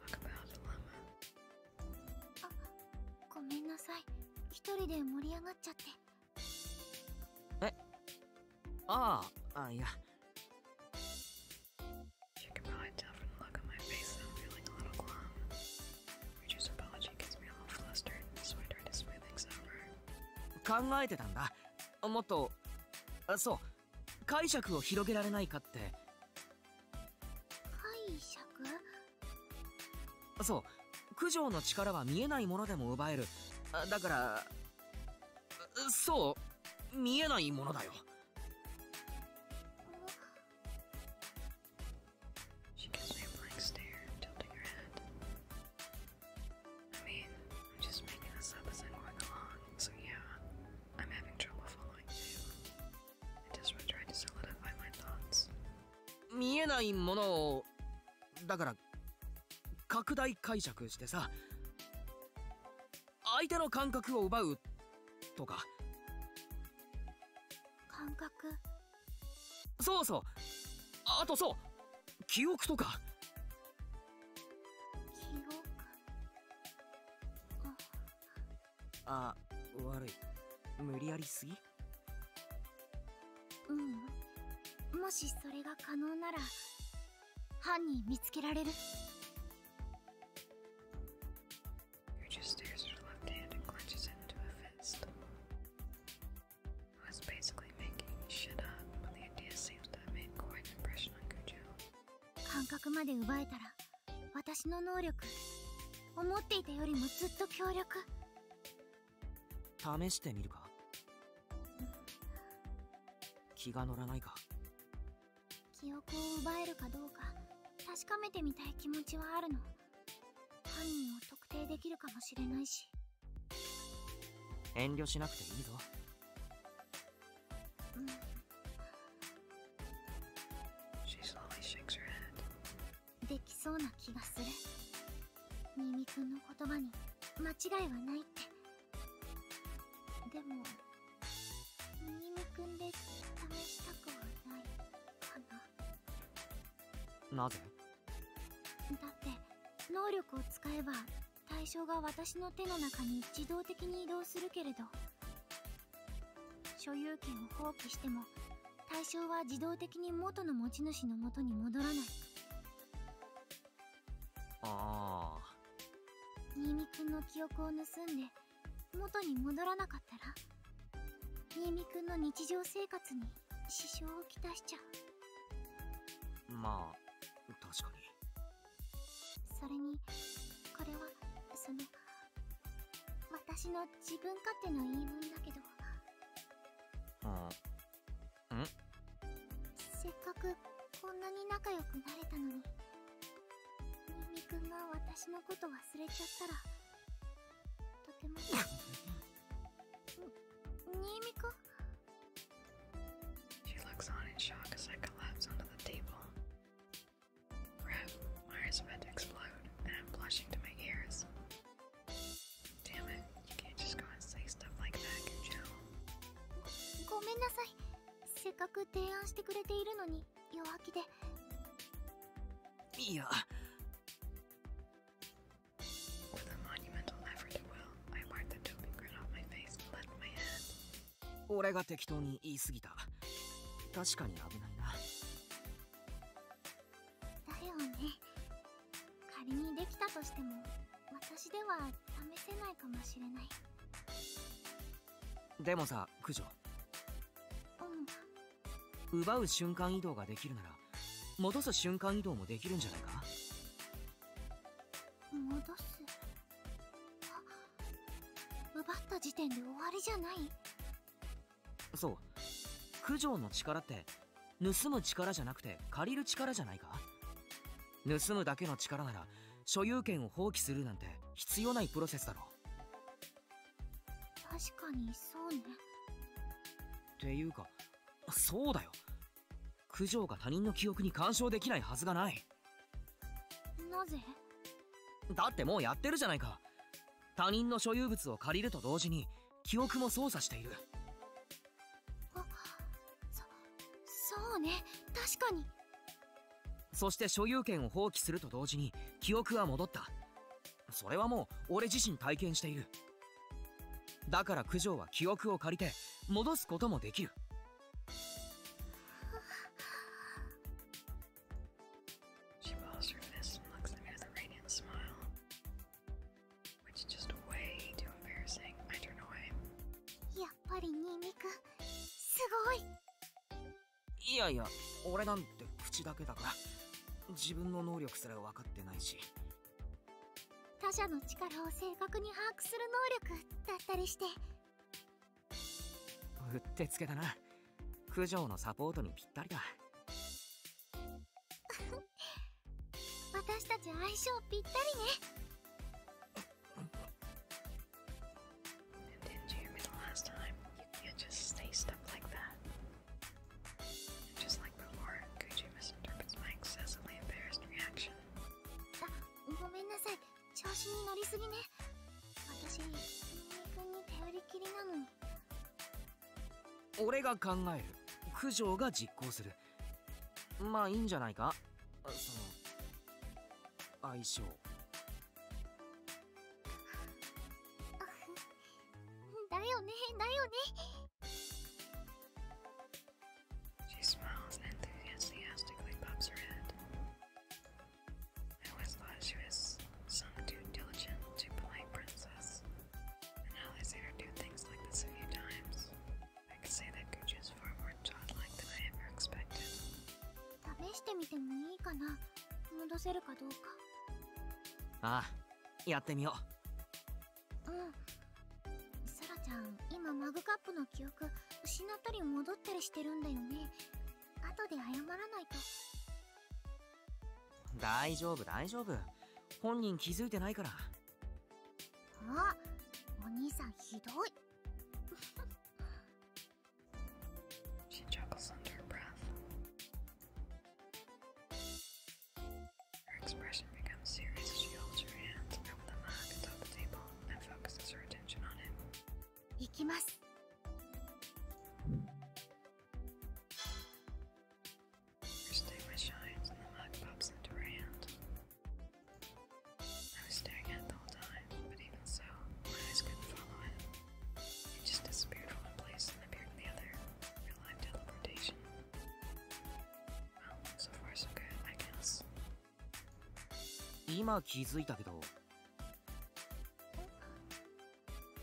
Talk about a dilemma. あ、ごめんなさい。一人で盛り上がっちゃって。Ah, えあああいや You can probably tell from the look on my face that I'm feeling a little glum. Richard's apology gets me all flustered, so I try to smooth things over. 考えてたんだ。もっと、あそう、解釈を広げられないかって。解釈そう、九条の力は見えないものでも奪える。だから、そう見えないものだよ見えないものをだから拡大解釈してさ相手の感覚を奪うとか感覚そうそうあとそう記憶とか記憶あ悪い無理やりすぎうんもしそれが可能なら犯人見つけられる basically making shit up, but the idea seems to have made quite an impression on Cujo. 感覚まで奪えたら、私の能力、思っていたよりもずっと強力。試してみるか気が乗らないか記憶を奪えるかどうか確かめてみたい気持ちはあるの犯人を特定できるかもしれないし遠慮しなくていいぞできそうな気がするミミくんの言葉に間違いはないってでもミミ君で試したくはないかななぜだって能力を使えば対象が私の手の中に自動的に移動するけれど所有権を放棄しても対象は自動的に元の持ち主のもとに戻らないああ新見くんの記憶を盗んで元に戻らなかったら新見くんの日常生活に支障をきたしちゃうまあ確かにそれにこれはその私の自分勝手の言い分だけどせっかくこんなに仲良くなれたのにみみくんが私のこと忘れちゃったらとてもにみこ She looks on in shock as I collapse onto the table. Crap, my eyes are about to explode, and I'm blushing to my ears. Damn it, you can't just go and say stuff like that, can you? ごめんなさい。せっかく提案してくれているのに弱気で。いや。With a monumental effort of will, I wiped the doping grin off my face and left my hand. 俺が適当に言い過ぎた。確かに危ないな。だよね。仮にできたとしても私では試せないかもしれないでもさ九条うん奪う瞬間移動ができるなら戻す瞬間移動もできるんじゃないか戻す奪った時点で終わりじゃないそう九条の力って盗む力じゃなくて借りる力じゃないか盗むだけの力なら所有権を放棄するなんて必要ないプロセスだろ確かにそうねていうかそうだよ九条が他人の記憶に干渉できないはずがないなぜだってもうやってるじゃないか他人の所有物を借りると同時に記憶も操作しているそそうね確かにそして所有権を放棄すると同時に記憶は戻ったそれはもう俺自身体験しているだから九条は記憶を借りて戻すこともできるやっぱりニンニクすごいいやいや俺なんて口だけだから自分の能力すら分かってないし他者の力を正確に把握する能力だったりしてうってつけだな九条のサポートにぴったりだ 私たち相性ぴったりね Did you hear me the last time? You can't just say stuff like that. Just like before, Gucci misinterprets my excessively embarrassed reaction. あ、ごめんなさい。調子に乗りすぎね。私、ミ君に頼りきりなのに。俺が考える。九条が実行する。まあいいんじゃないかその相性 だよねだよね She smiles and enthusiastically pops her head. I always thought she was some too diligent, too polite princess. And now they see her do things like this a few times. 試してみてもいいかな戻せるかどうかあやってみよううんサラちゃん今マグカップの記憶失ったり戻ったりしてるんだよね後で謝らないと大丈夫大丈夫本人気づいてないからあお兄さんひどい She chuckles under her breath. Her expression becomes serious as she holds her hands over the mug atop the table and focuses her attention on him. 行きます。Her stigma shines and the mug pops into her hand. I was staring at it the whole time, but even so, my eyes couldn't follow it. It just disappeared from one place and appeared in the other. Real life teleportation. Well, so far so good, I guess. 今気づいたけど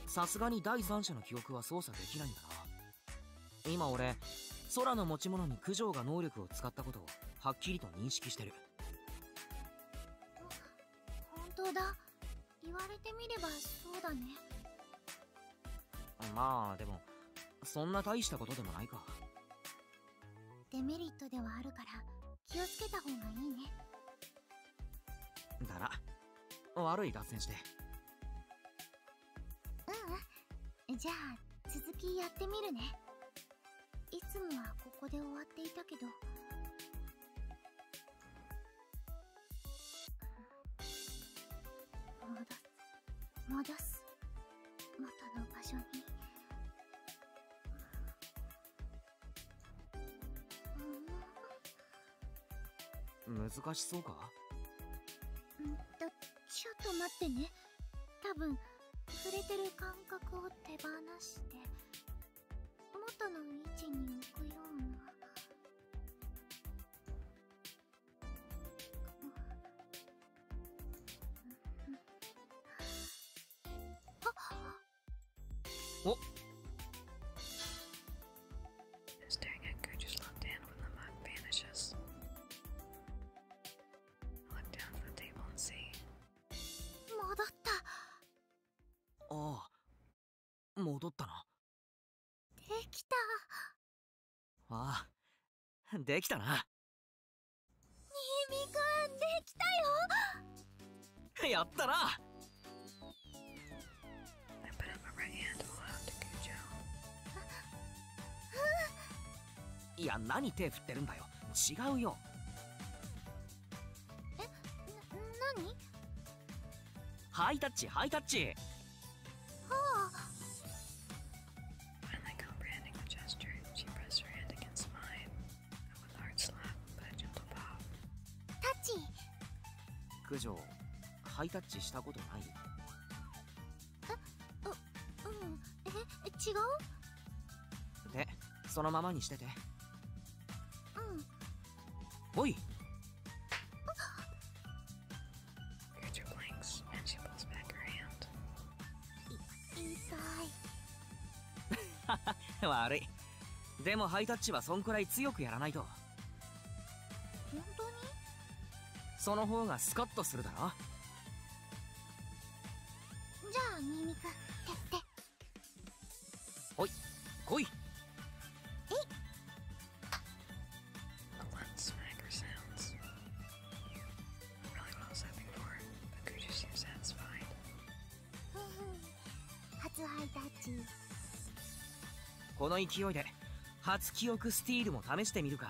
さすがに第三者の記憶は操作できないんだな今俺空の持ち物に九条が能力を使ったことをはっきりと認識してる本当だ言われてみればそうだねまあでもそんな大したことでもないかデメリットではあるから気をつけた方がいいねだら悪い脱線してううんじゃあ続きやってみるねいつもはここで終わっていたけど戻す戻す元の場所に難しそうかだちょっと待ってね多分触れてる感覚を手放して元の位置に置くようなおっ Staring at Gertrude's left hand when the mug vanishes. 戻ったああ戻ったなできたああできたな新見くんできたよやったなうんいや何手振ってるんだよ違うよえな何ハイタッチハイタッチはあタッチ九条ハイタッチしたことないえううんえ違うねそのままにしててうんおい 悪いでもハイタッチはそんくらい強くやらないと本当にその方がスカッとするだろじゃあニンクてってほい来いこの勢いで初記憶スティールも試してみるか。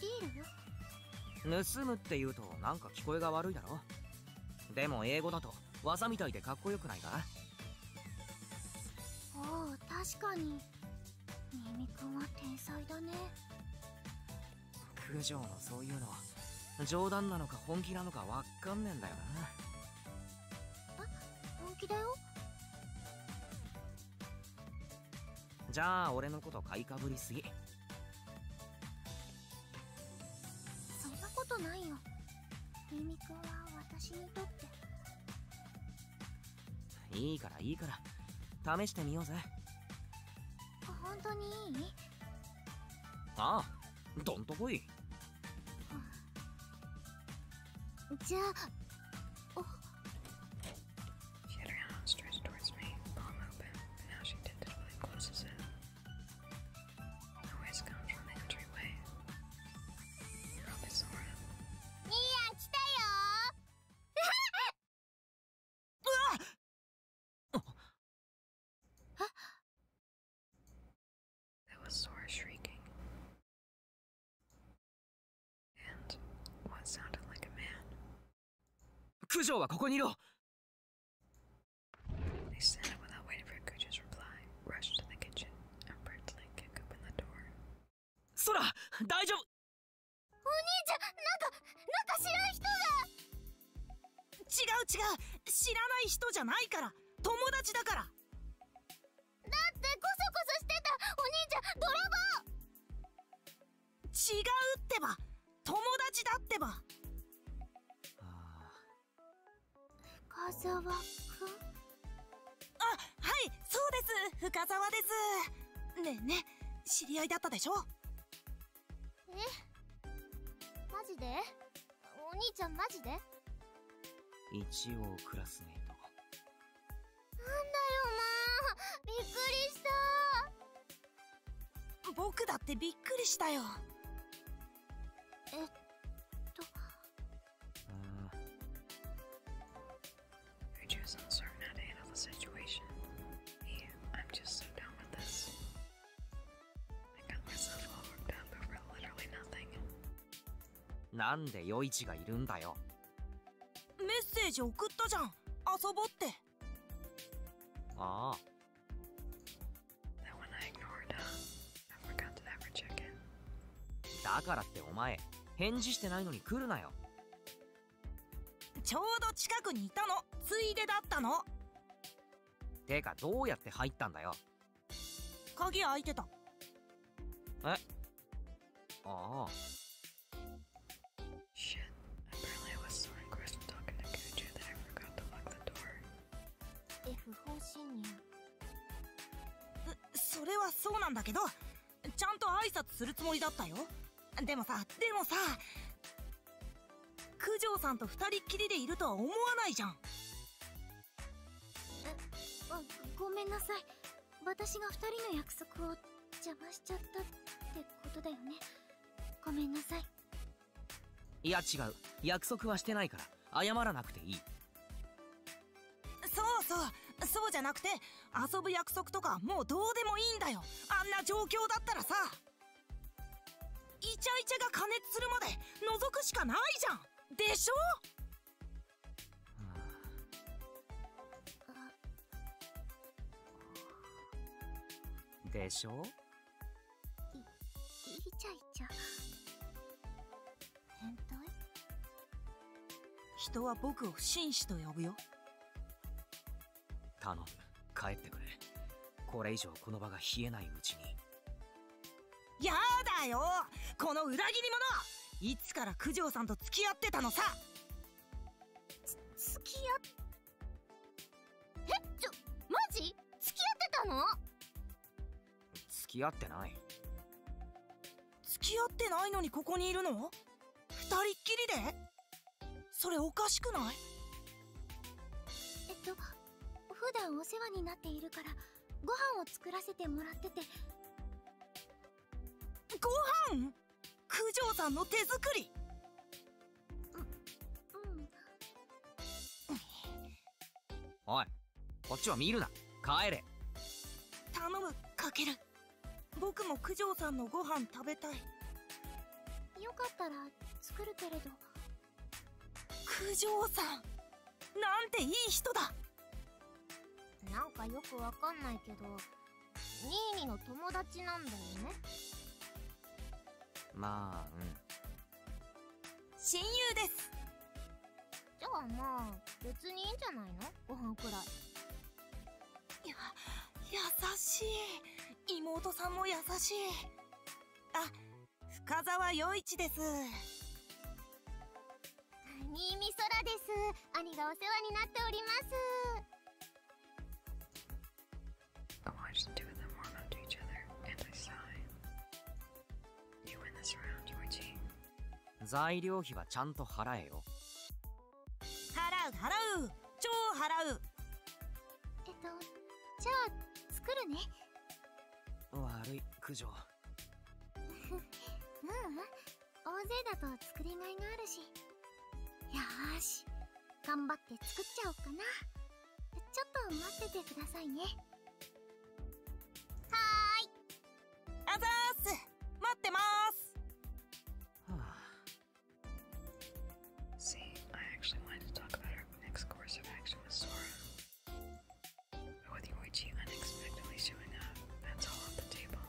ティール盗むって言うとなんか聞こえが悪いだろでも英語だと技みたいでかっこよくないかおお確かにミミくんは天才だね九条のそういうの冗談なのか本気なのかわかんねえんだよなあ本気だよじゃあ俺のこと買いかぶりすぎそんなことないよミミ君は私にとっていいからいいから試してみようぜ本当にいいああどんとこいじゃあお She had her hand stretched towards me, palm open, but now she tentatively closes it. Noise comes from the entryway. Up is Sora. Mia, That was Sora shrieking. and what sounded like a man. 九条はここにいろ They stand up without waiting for Kuja's reply, rushed to the kitchen, and Bertlin kicked open the door. 空大丈夫お兄ちゃんなんかなんか知らん人が違う違う知らない人じゃないから友達だからだってコソコソしてたお兄ちゃん泥棒違うってば友達だってば深沢はいそうです深沢ですねね知り合いだったでしょえマジでお兄ちゃんマジで一応クラスメートだよもうびっくりした僕だってびっくりしたよえっとああ I just uncertain how to handle the situation. Yeah, I'm just so done with this. I got myself all worked up over literally nothing. なんでヨイチがいるんだよメッセージ送ったじゃん遊ぼってああ？だからってお前、返事してないのに来るなよ。ちょうど近くにいたの。ついでだったの。てか、どうやって入ったんだよ。鍵開いてた。えああ。f o r g それはそうなんだけどちゃんと挨拶するつもりだったよでもさでもさ九条さんと二人きりでいるとは思わないじゃんごめんなさい私が二人の約束を邪魔しちゃったってことだよねごめんなさいいや違う約束はしてないから謝らなくていいそうそうそうじゃなくて遊ぶ約束とかもうどうでもいいんだよあんな状況だったらさイチャイチャが加熱するまで覗くしかないじゃんでしょでしょいいちゃいちゃ変態人は僕を紳士と呼ぶよ頼む帰ってくれこれ以上この場が冷えないうちにやだよこの裏切り者いつから九条さんと付き合ってたのさつ付き合っえちょマジ付き合ってたの付き合ってない付き合ってないのにここにいるの二人っきりでそれおかしくないえっと普段お世話になっているからご飯を作らせてもらっててご飯九条さんの手作りおいこっちは見るな帰れ頼むかける僕も九条さんのご飯食べたいよかったら作るけれど九条さんなんていい人だなんかよくわかんないけどニーニの友達なんだよねまあうん親友ですじゃあまあ別にいいんじゃないのご飯くらいや優しい妹さんも優しいあ深沢陽一です新見空です兄がお世話になっております I watched the two of them warm up to each other, and I sighed. You win this round, Yoichi. 材料費はちゃんと払えよ。払う払う超払うえっと、じゃあ作るね。悪い、九条。ううん、大勢だと作りがいがあるし。よーし。頑張って作っちゃおうかなちょっと待っててくださいねはーいあざーす待ってます See, I actually wanted to talk about our next course of action with Sora. But with Yoichi unexpectedly showing up, that's all off the table.